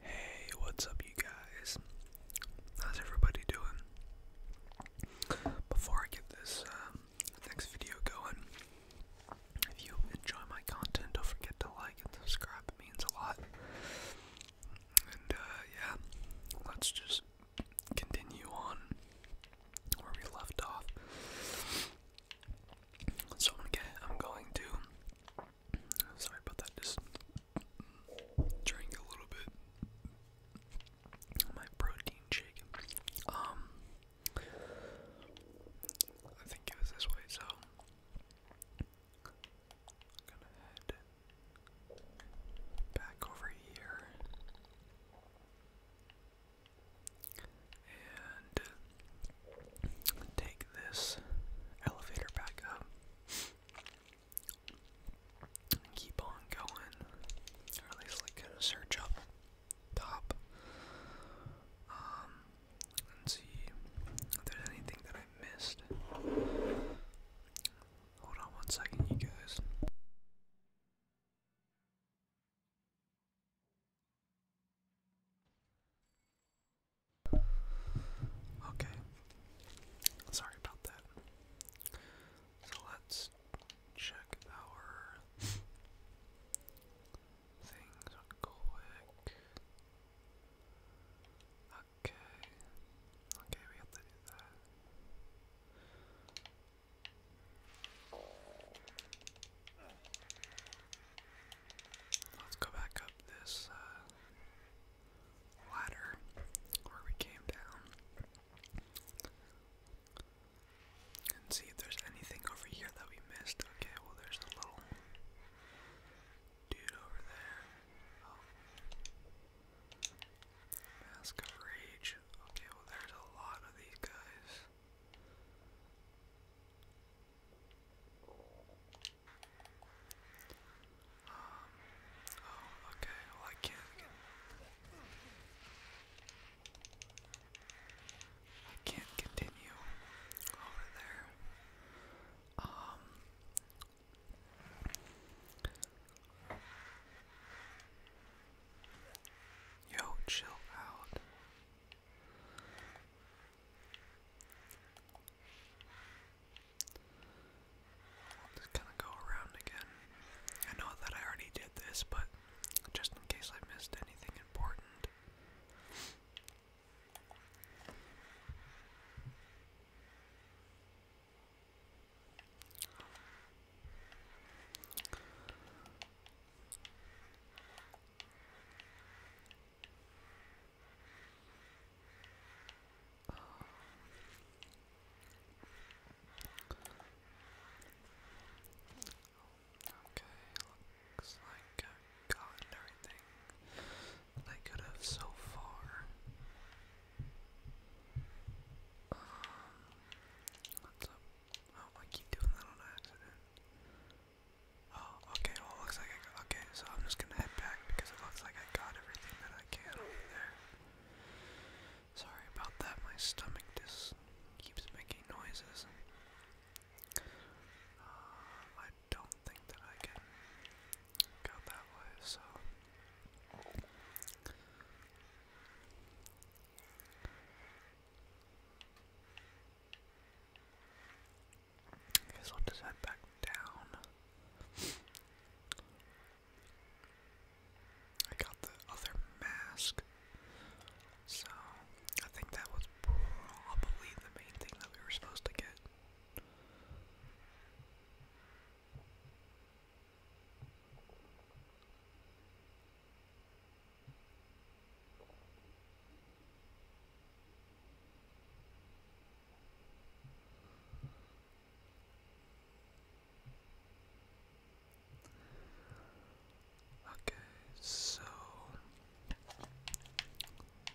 Hey, what's up, you guys? How's everybody doing? Before I get this um, next video going, if you enjoy my content, don't forget to like and subscribe, it means a lot. And uh, yeah, let's just continue on where we left off. So I'm, gonna i am going to Sorry about that, just drink a little bit. My protein shake. Um I think it was this way, so gonna head back over here and take this elevator back up. keep on going, at least like search up top, um, and see if there's anything that I missed. Hold on one second, you guys. Okay. Sorry about that. So let's check our things quick. Okay. Okay, we have to do that. Let's go back up this uh, ladder where we came down and see if there's anything over here that we missed. Okay, well, there's a little dude over there. Oh. Mask of Rage. Okay, well, there's a lot of these guys oh, okay, well I can't I can't continue over there. Um... Yo, chill out i just kind of go around again. I know that I already did this, but just in case I missed anything important. Um, okay, looks like I've everything that could have so far. Um, what's up? Oh, I keep doing that on accident. Oh, okay, well, looks like I got, okay, so I'm just gonna head back because it looks like I got everything that I can over there. Sorry about that, my stomach just keeps making noises. Uh, I don't think that I can go that way, so. Okay, so i head back down. I got the other mask. So, I think that was probably the main thing that we were supposed to get. Okay, so um okay.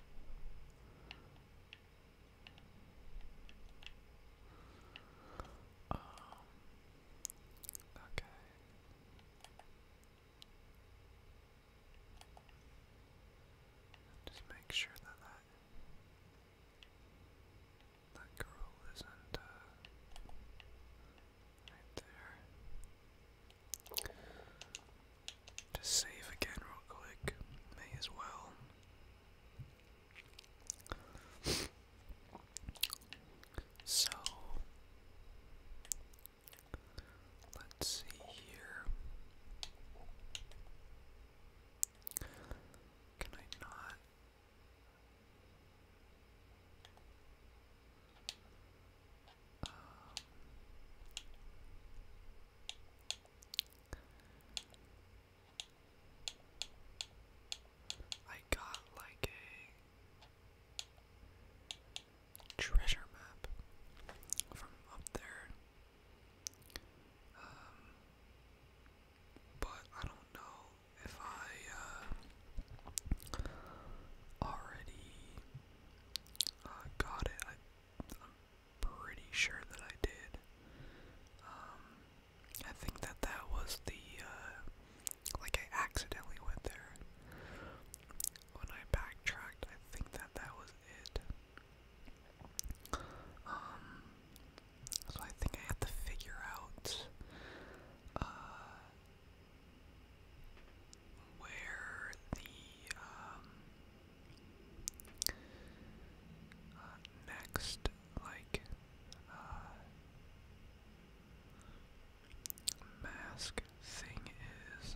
Just make sure that that that girl isn't uh, right there. Just save again real quick. May as well. So Let's see here. Can I not? Um, I got like a treasure map from up there. Um, but I don't know if I uh, already uh, got it. I, am pretty sure that I did. Um, I think that that was the uh, like I accidentally went there. When I backtracked, I think that that was it. Um, so I think I have to figure out uh, where the um, uh, next, like, uh, mask thing is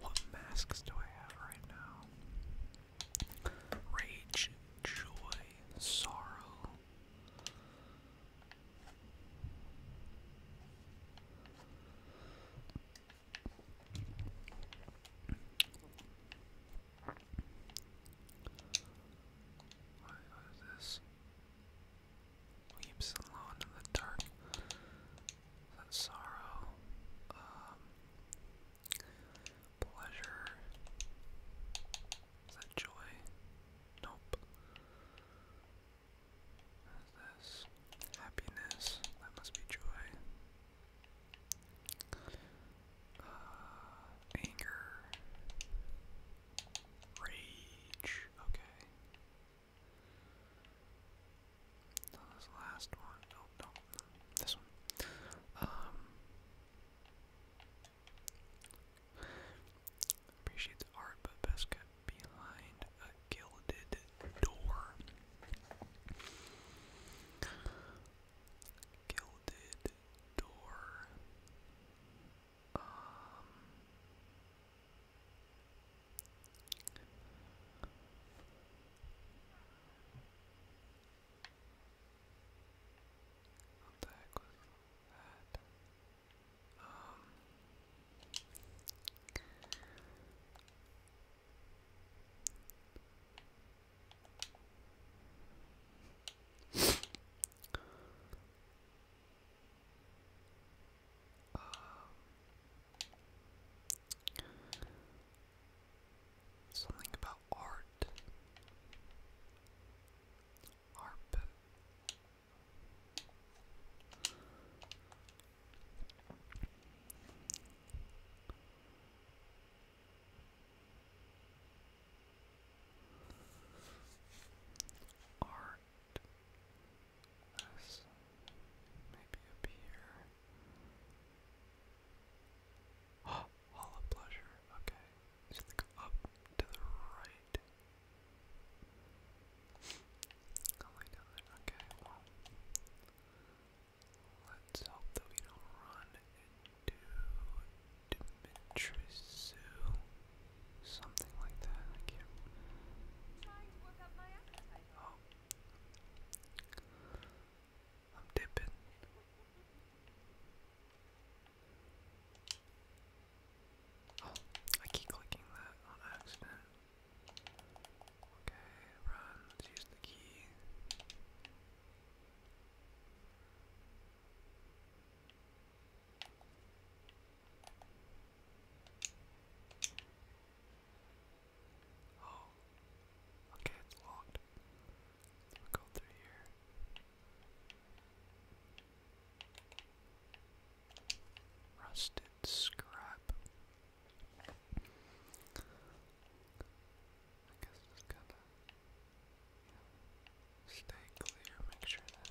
what masks do I have right now? Rage, joy, sorrow. What, what is this? Weeps alone in the dark sorrow, um, pleasure, is that joy? Nope. What is this? Happiness, that must be joy. Uh, anger, rage, okay. Oh, this one, no, um, art, but best kept behind a gilded door. Gilded door. Um, what the that? Um um, Something about art. Arp. Art. Yes. Maybe up here. Hall of Pleasure. Okay. Just go up to the right. I'll oh lay Okay, Let's hope that we don't run into Dimitris Something like that. I can't. I'm dipping. Oh, I keep clicking that on accident. Okay, run, let's use the key. Oh. Okay, it's locked. go through here. Rusted scrap. I guess it's to stay clear, make sure that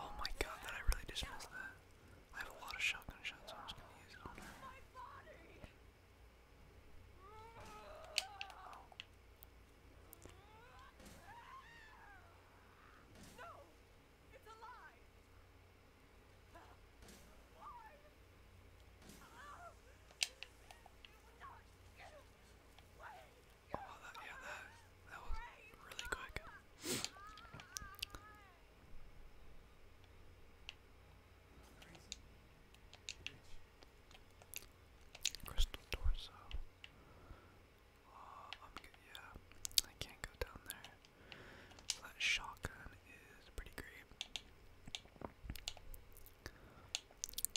Oh. my god, that I really just missed that. I have a lot of shotgun shots, Oh. yeah, that, that was really quick. Crystal torso. Uh, Yeah, I can't go down there. that shotgun is pretty great.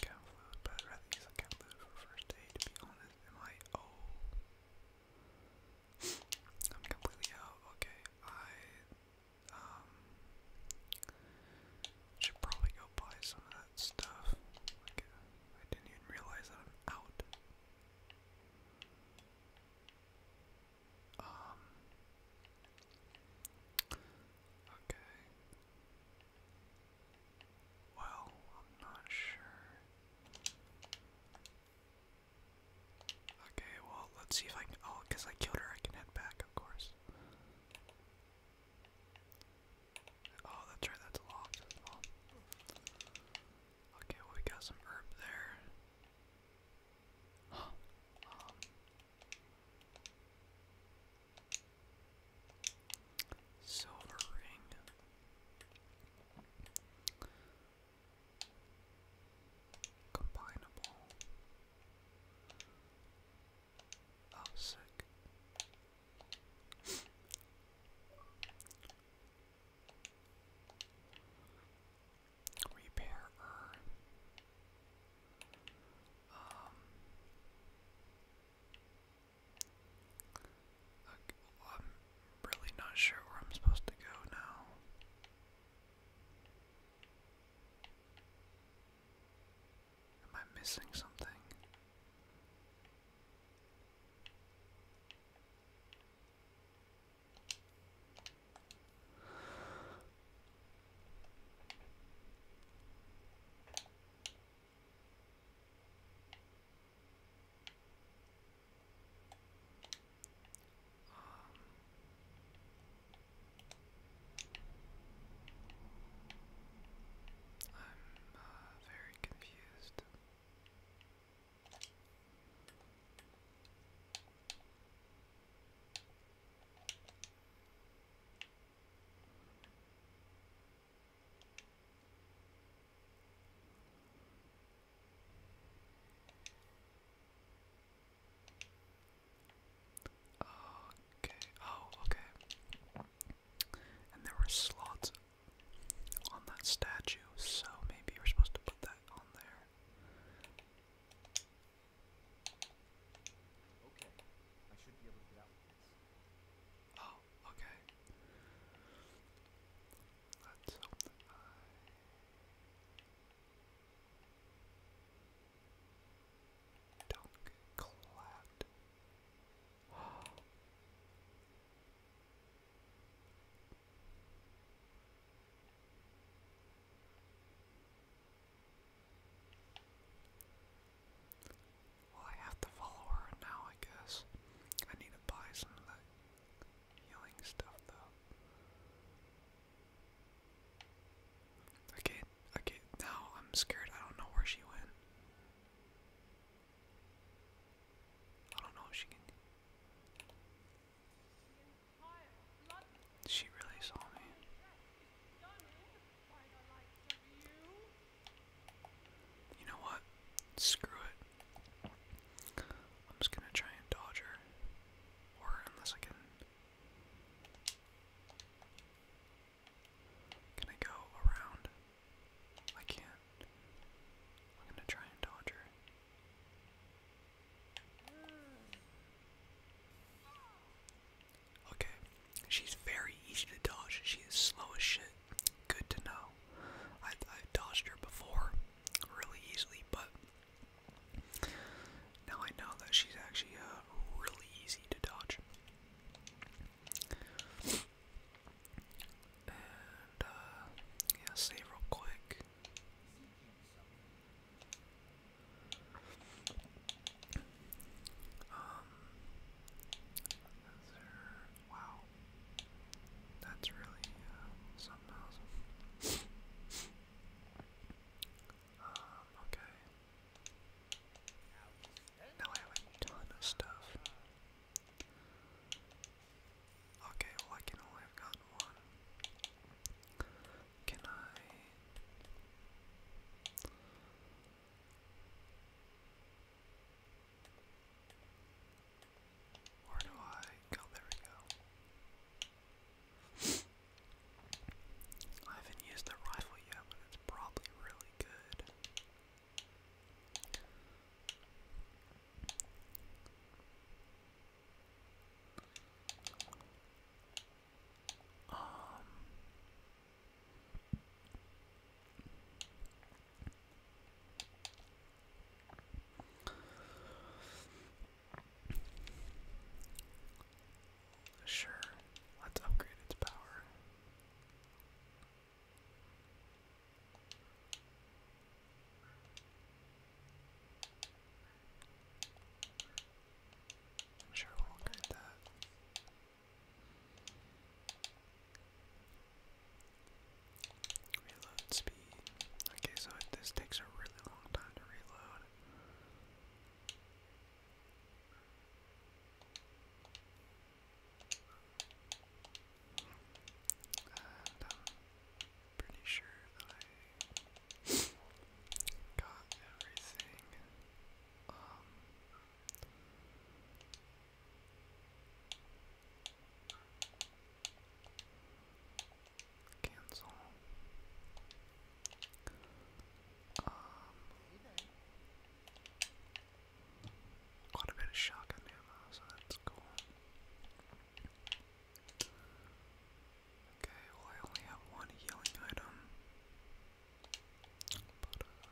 Cat but I'd rather use a cat for first aid. To be honest, am I? Oh. I'm completely out. Okay, I um, should probably go buy some of that stuff. I didn't even realize that I'm out. Um. Okay. Well, I'm not sure. Okay, well, let's see if I can. Oh, because I killed her, I can head back, of course. Oh, that's right, that's locked. Okay, well, we got some herb there. Huh. Um. Silver ring. Combinable. Oh, sick. Repairer. Um. Okay, I'm really not sure where I'm supposed to go now. Am I missing something? Um, I'm uh, very confused. Okay. Oh, okay. And there were slots on that statue, so maybe you are supposed to put that on there. Okay. I should be able to get out with Oh, okay. Let's hope that I Dunk clapped. Well, I have to follow her now, I guess. I need to buy some of that yelling stuff though. Okay, okay, now I'm scared. I don't know where she went. I don't know if she can. She really saw me. You know what? Screw it. I'm just gonna try and dodge her. Or unless I can. Can I go around? I can't. I'm gonna try and dodge her. Okay, she's very easy to dodge. She is slow as shit. Good to know. I, I've dodged her before really easily, but now I know that she's actually uh, really easy to dodge. And, uh, yeah, real quick. Um, wow, that's really uh, something um, okay. Now I have a ton of stuff. Okay, well I can only have gotten one. Can I... Where do I go? There we go. I haven't used the rifle yet, but it's probably really good. Um, Sure, let's upgrade its power. sure we'll upgrade that. Reload speed. Okay, so this takes a really long time to reload. Uh, I'm pretty sure I got everything. Um, Cancel. Um, quite a bit of shotgun so that's cool. Okay, well I only have one healing item. But, uh,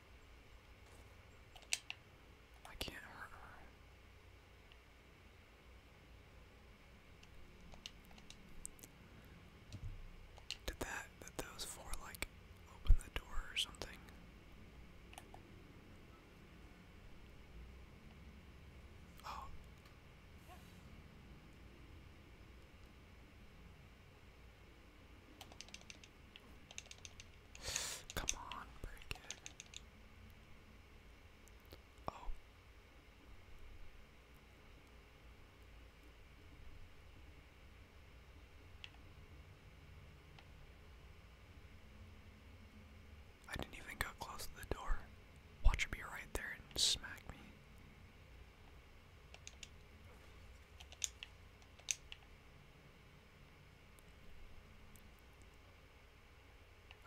I can't hurt her. Did that, did those four like open the door or something? Oh. Come on, break it. Oh. I didn't even go close to the door. Watch her be right there and smack me.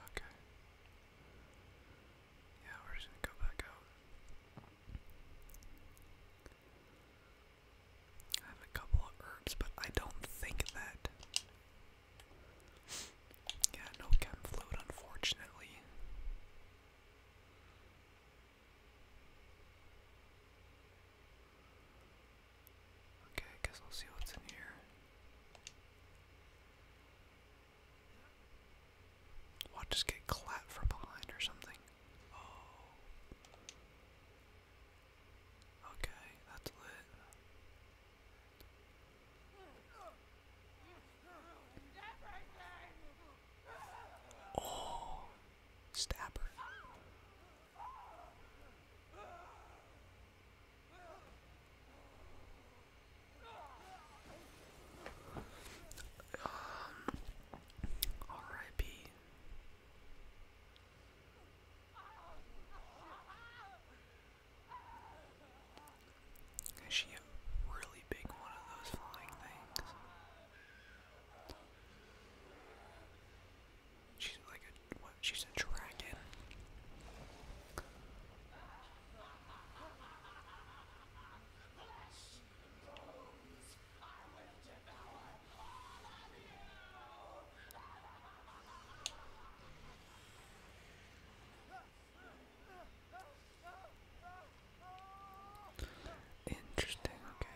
Okay. Yeah, we're just gonna go back out. I have a couple of herbs, but I don't think that. Yeah, no chem unfortunately. Okay, I guess I'll see what's in here. Watch just get clapped from behind or something. Oh. Okay, that's lit. Oh, stabber. Um, R.I.P. Is she a really big one of those flying things? She's like a She's a dragon. Interesting, okay.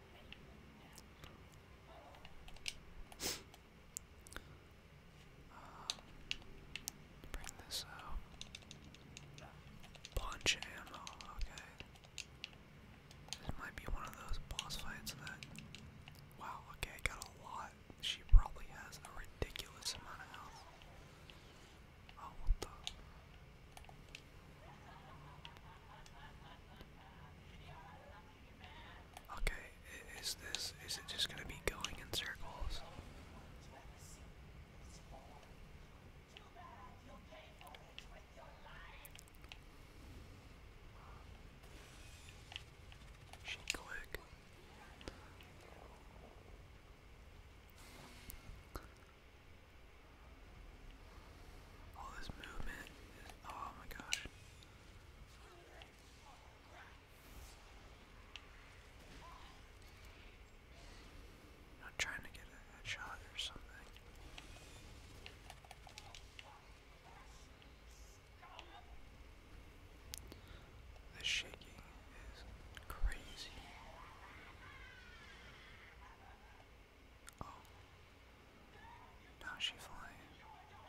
bring this out. Bunch ammo, okay. This might be one of those boss fights that. Wow, okay, got a lot. She probably has a ridiculous amount of health. Oh, what the? Okay, is this, is it just gonna be going in circles? She click. All this movement oh my gosh. not trying to get a headshot or something. The shaking is crazy. Oh. Now she flying. Oh.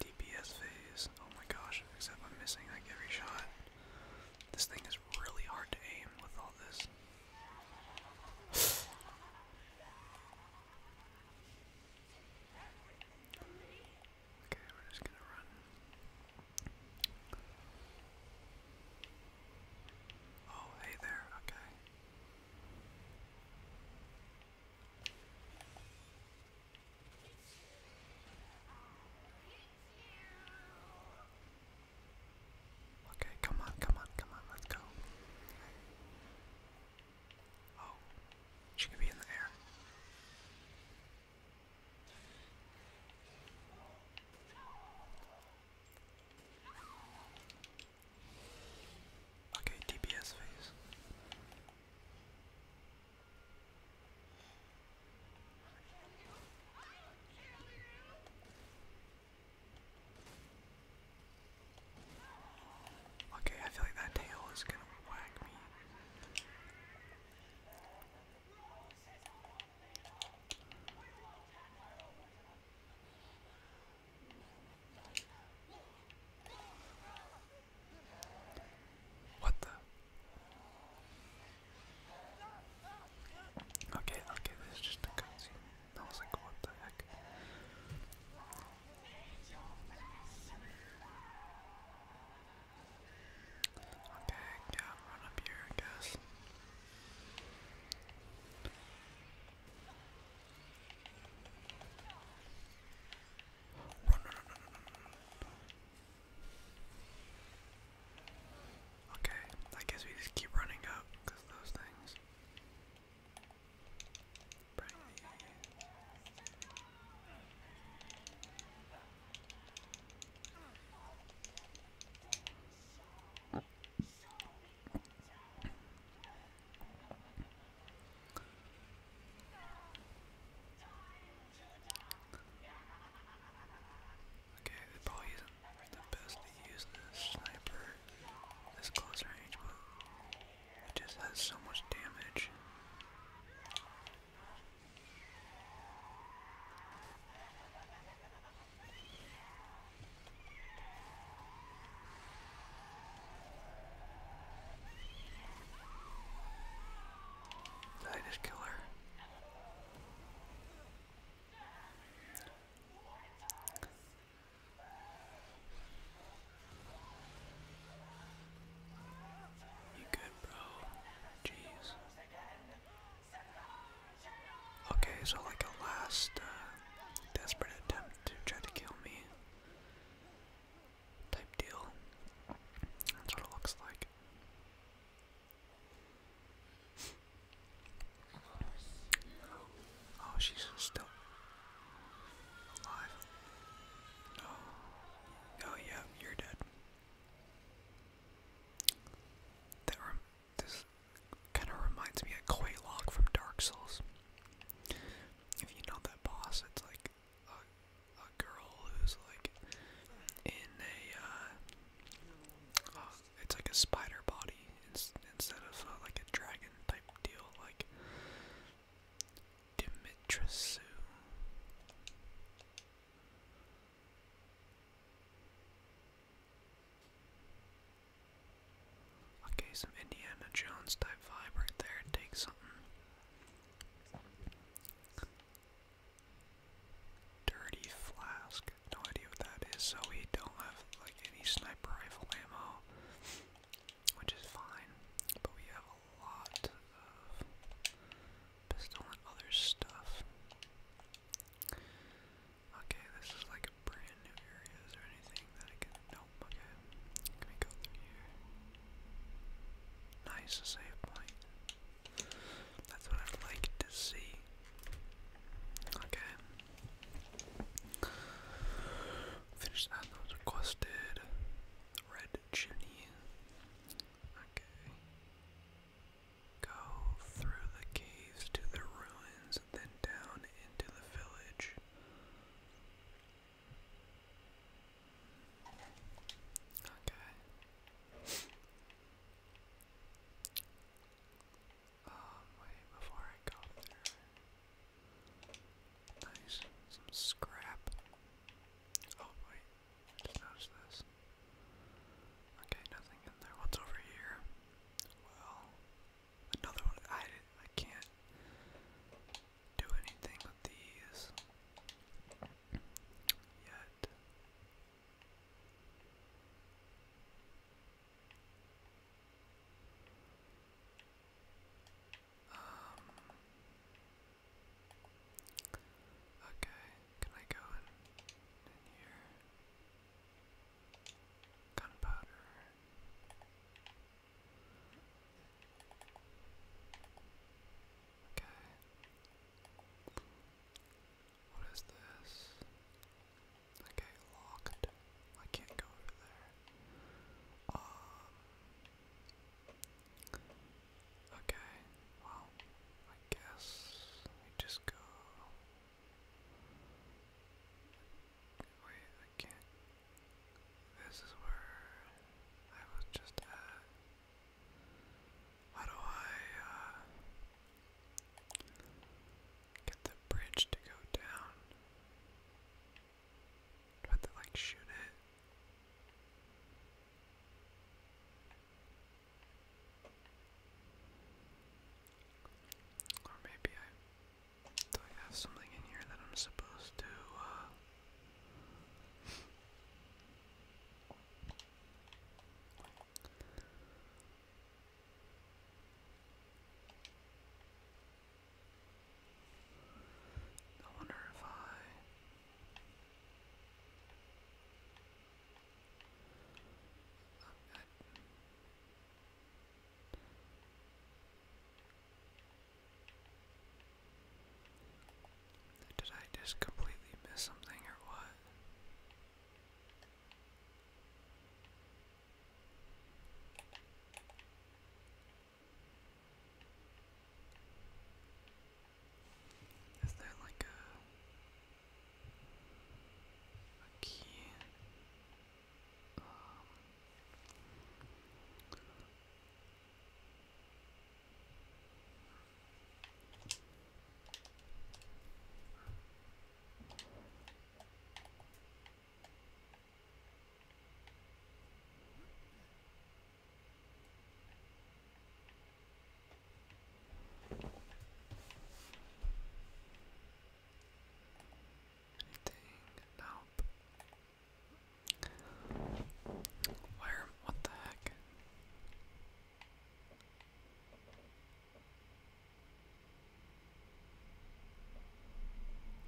DPS phase. Oh my gosh, except I'm missing like every shot. This thing is really hard to aim with all this. okay, we're just gonna run. Oh, hey there, okay. Okay, come on, come on, come on, let's go. Oh, she could be in there. Okay, DPS phase. Okay, I feel like that tail is gonna whack me. What the? Okay, okay, this is just a cutscene. I was like, what the heck? Okay, yeah, run up here, I guess. run, run, run, run, run. Okay, I guess we just keep running up because those things. Okay, probably the best to use this sniper this close range, but it just has so much damage. I just kill her? You good, bro? Jeez. Okay, so like a last uh, desperate attempt to try to kill me type deal. That's what it looks like. Oh, she's still alive. Oh, yeah, you're dead. That kind of reminds me of Quaylock from Dark Souls. If you know that boss, it's like a, girl who's like in a uh, uh, it's like a spider body instead of uh, like a dragon type deal like Dimitrescu. Okay, some Indiana Jones type vibe right there. Take something. Dirty flask. No idea what that is, so we don't have like any sniper rifle ammo. Which is fine. But we have a lot of pistol and other stuff. Okay, this is like brand new area. Is anything that I can nope, okay. Can we go through here? Nice save point. That's what I'd like to see. Okay. Finish that was requested. Red chimney. Okay. Go through the caves to the ruins, then down into the village. Okay. Um, wait, before I go there. Nice. Some scrap. Oh, wait. just noticed Okay, nothing in there. What's over here? Well, another one. I, I can't do anything with these. Um, okay, can I go in, here? Gunpowder. Okay, what is this? Okay, locked. I can't go over there. Um. Okay. Well, I guess we just go. Wait, I can't. This is where I was just at. How do I uh, get the bridge to go down? Do I have to like shoot it? Or maybe I do I have something in here that I'm supposed to uh, I wonder if I I, I did I just completely miss something or what? Is there like a key? Um, Anything? Nope. Where? What the heck?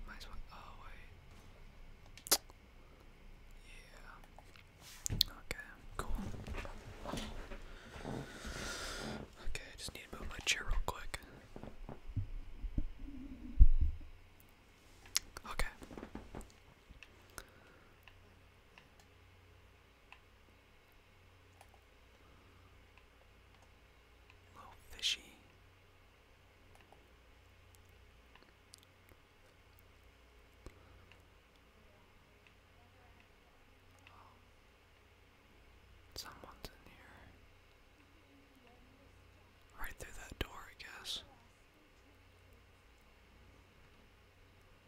Might as well. Oh, wait. Yeah. Okay, cool. Okay, I just need to move my chair real quick. Okay. A little fishy. Someone's in here. Right through that door, I guess.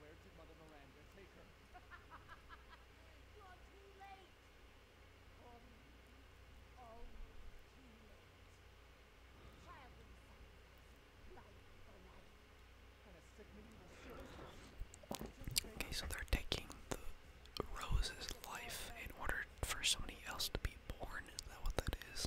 Where did Mother Miranda take her? Okay, so they're taking the Rose's life in order for somebody else to be born. Is that what that is?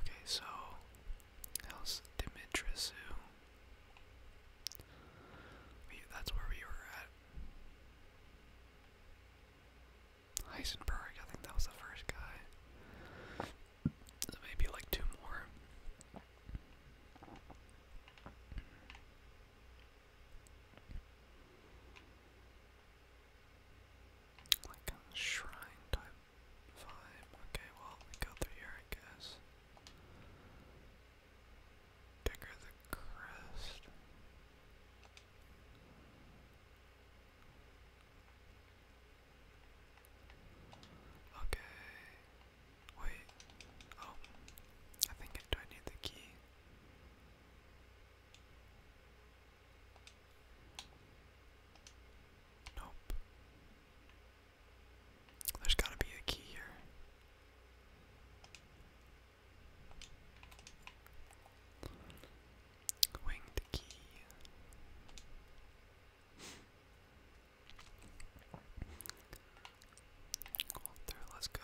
Okay, so how's Dimitrisu? that's where we were at. Heisenberg, I think that was the first guy. maybe like two more. Like a shrine type Fine, okay, well, go through here, I guess. Digger the crest. Okay. Wait. Oh. I think do I need the key? Nope. There's gotta be a key here. Winged key. Go through, let's go.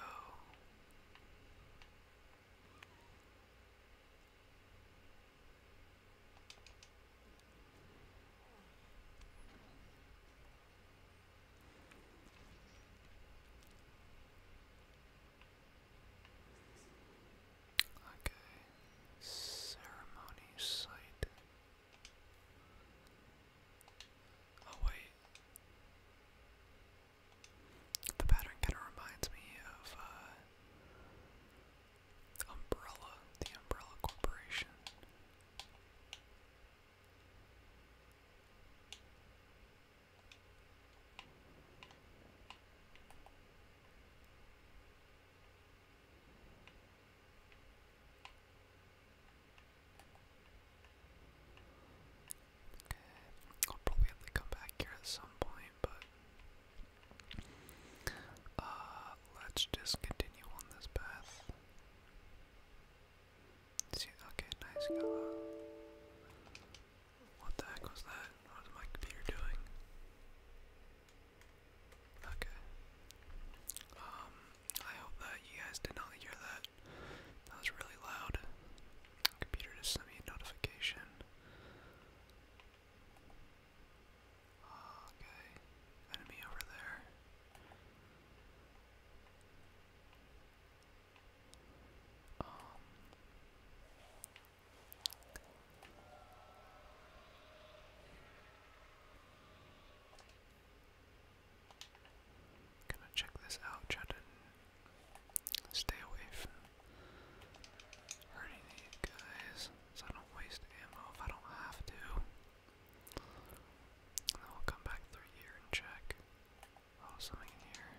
Okay, ceremony site. Oh wait, the pattern kind of reminds me of uh, Umbrella, the Umbrella Corporation. Okay, I'll probably have to come back here at some point, but uh, let's just continue on this path. See, okay, nice What the heck was that? What is my computer doing? Okay. Um, I hope that you guys did not hear that. That was really loud. Computer just sent me a notification. Okay, enemy over there. Um, going check this out, try stay away from hurting these guys so I don't waste ammo if I don't have to. then we'll come back through here and check. Oh, something here.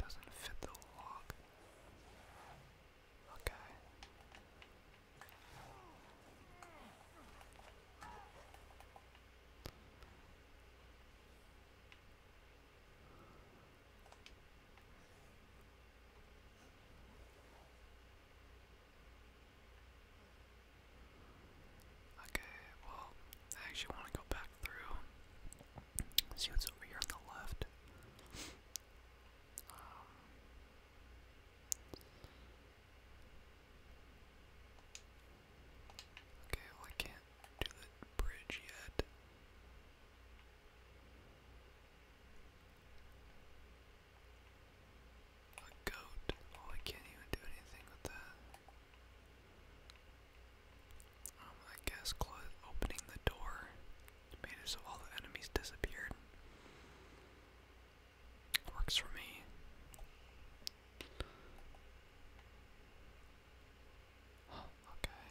Doesn't fit the lock. Okay. Okay, well, I actually want to go back through. See what's over here on the left. Um, okay, well, I can't do the bridge yet. A goat. Oh, I can't even do anything with that. Um, I guess close, opening the door made it so all the enemies disappeared. Works for me. okay.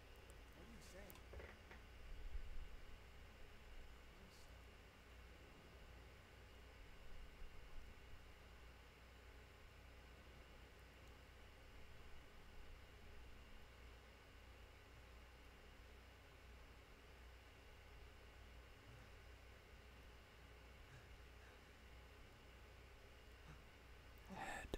What are you saying? Head.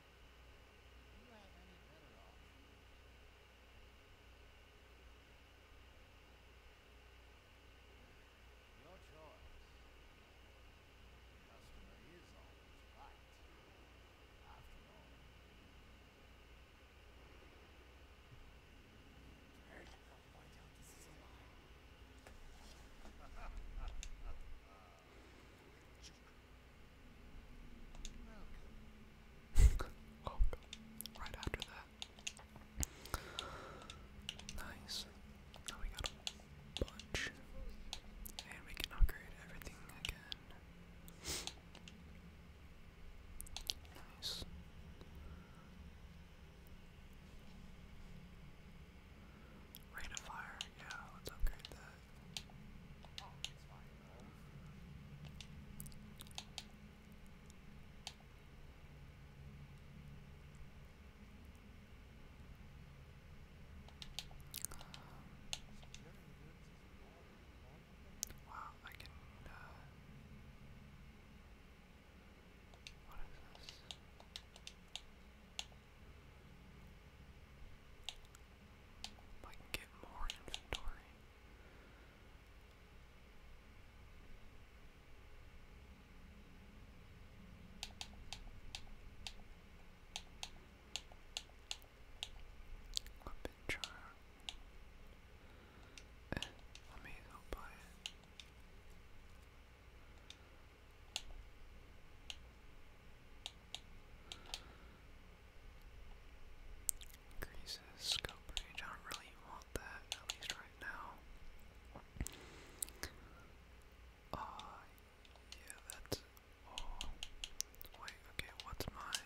you have any better options? Your choice. The customer is always right. After all. Turn! I'll find out this is a lie. right after that. Nice. Now we got a bunch. And we can upgrade everything again. Nice. Rate of fire, yeah, let's upgrade that. Wow, I can, uh, what is this? If I can get more inventory. Weapon jar. Eh, let me go buy it. Increases scope I don't really want that, at least right now. Uh, yeah, that's. Oh. Wait, okay, what's my.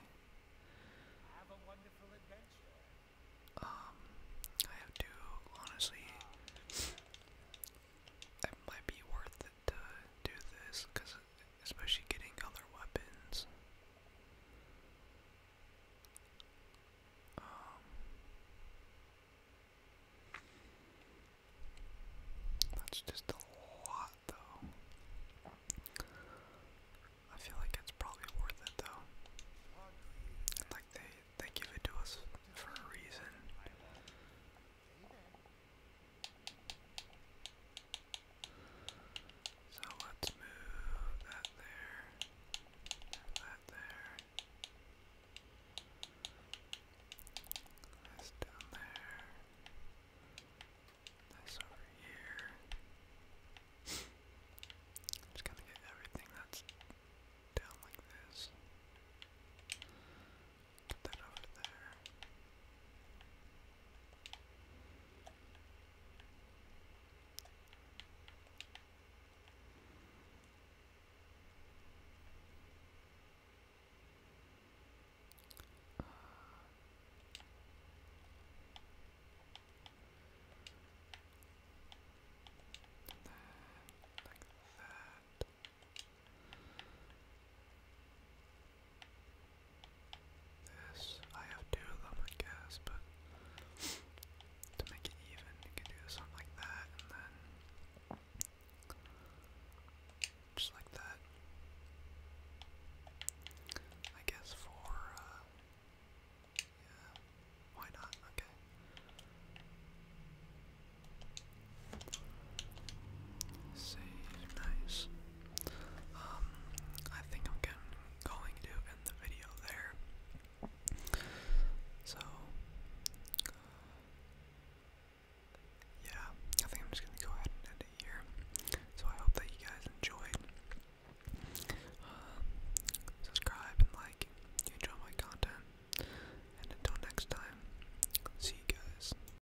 Um, I have to, honestly. It might be worth to do this, cause especially getting other weapons. Um, that's just a lot, though. I feel like it's probably worth it, though. Like they they give it to us for a reason. So let's move that there, that there. This down there. This over here. Just gonna get everything that's down like this. Put that over there. like that. This, I have two of them, I guess, but to make it even, you can do something like that, and then just like that. I guess for, uh, yeah, why not? Okay. Save, nice. Um, I think I'm going to end the video there. So, uh, yeah, I think I'm just gonna go ahead and end it here. So I hope that you guys enjoyed. Uh, subscribe and like if you enjoy my content. And until next time, see you guys.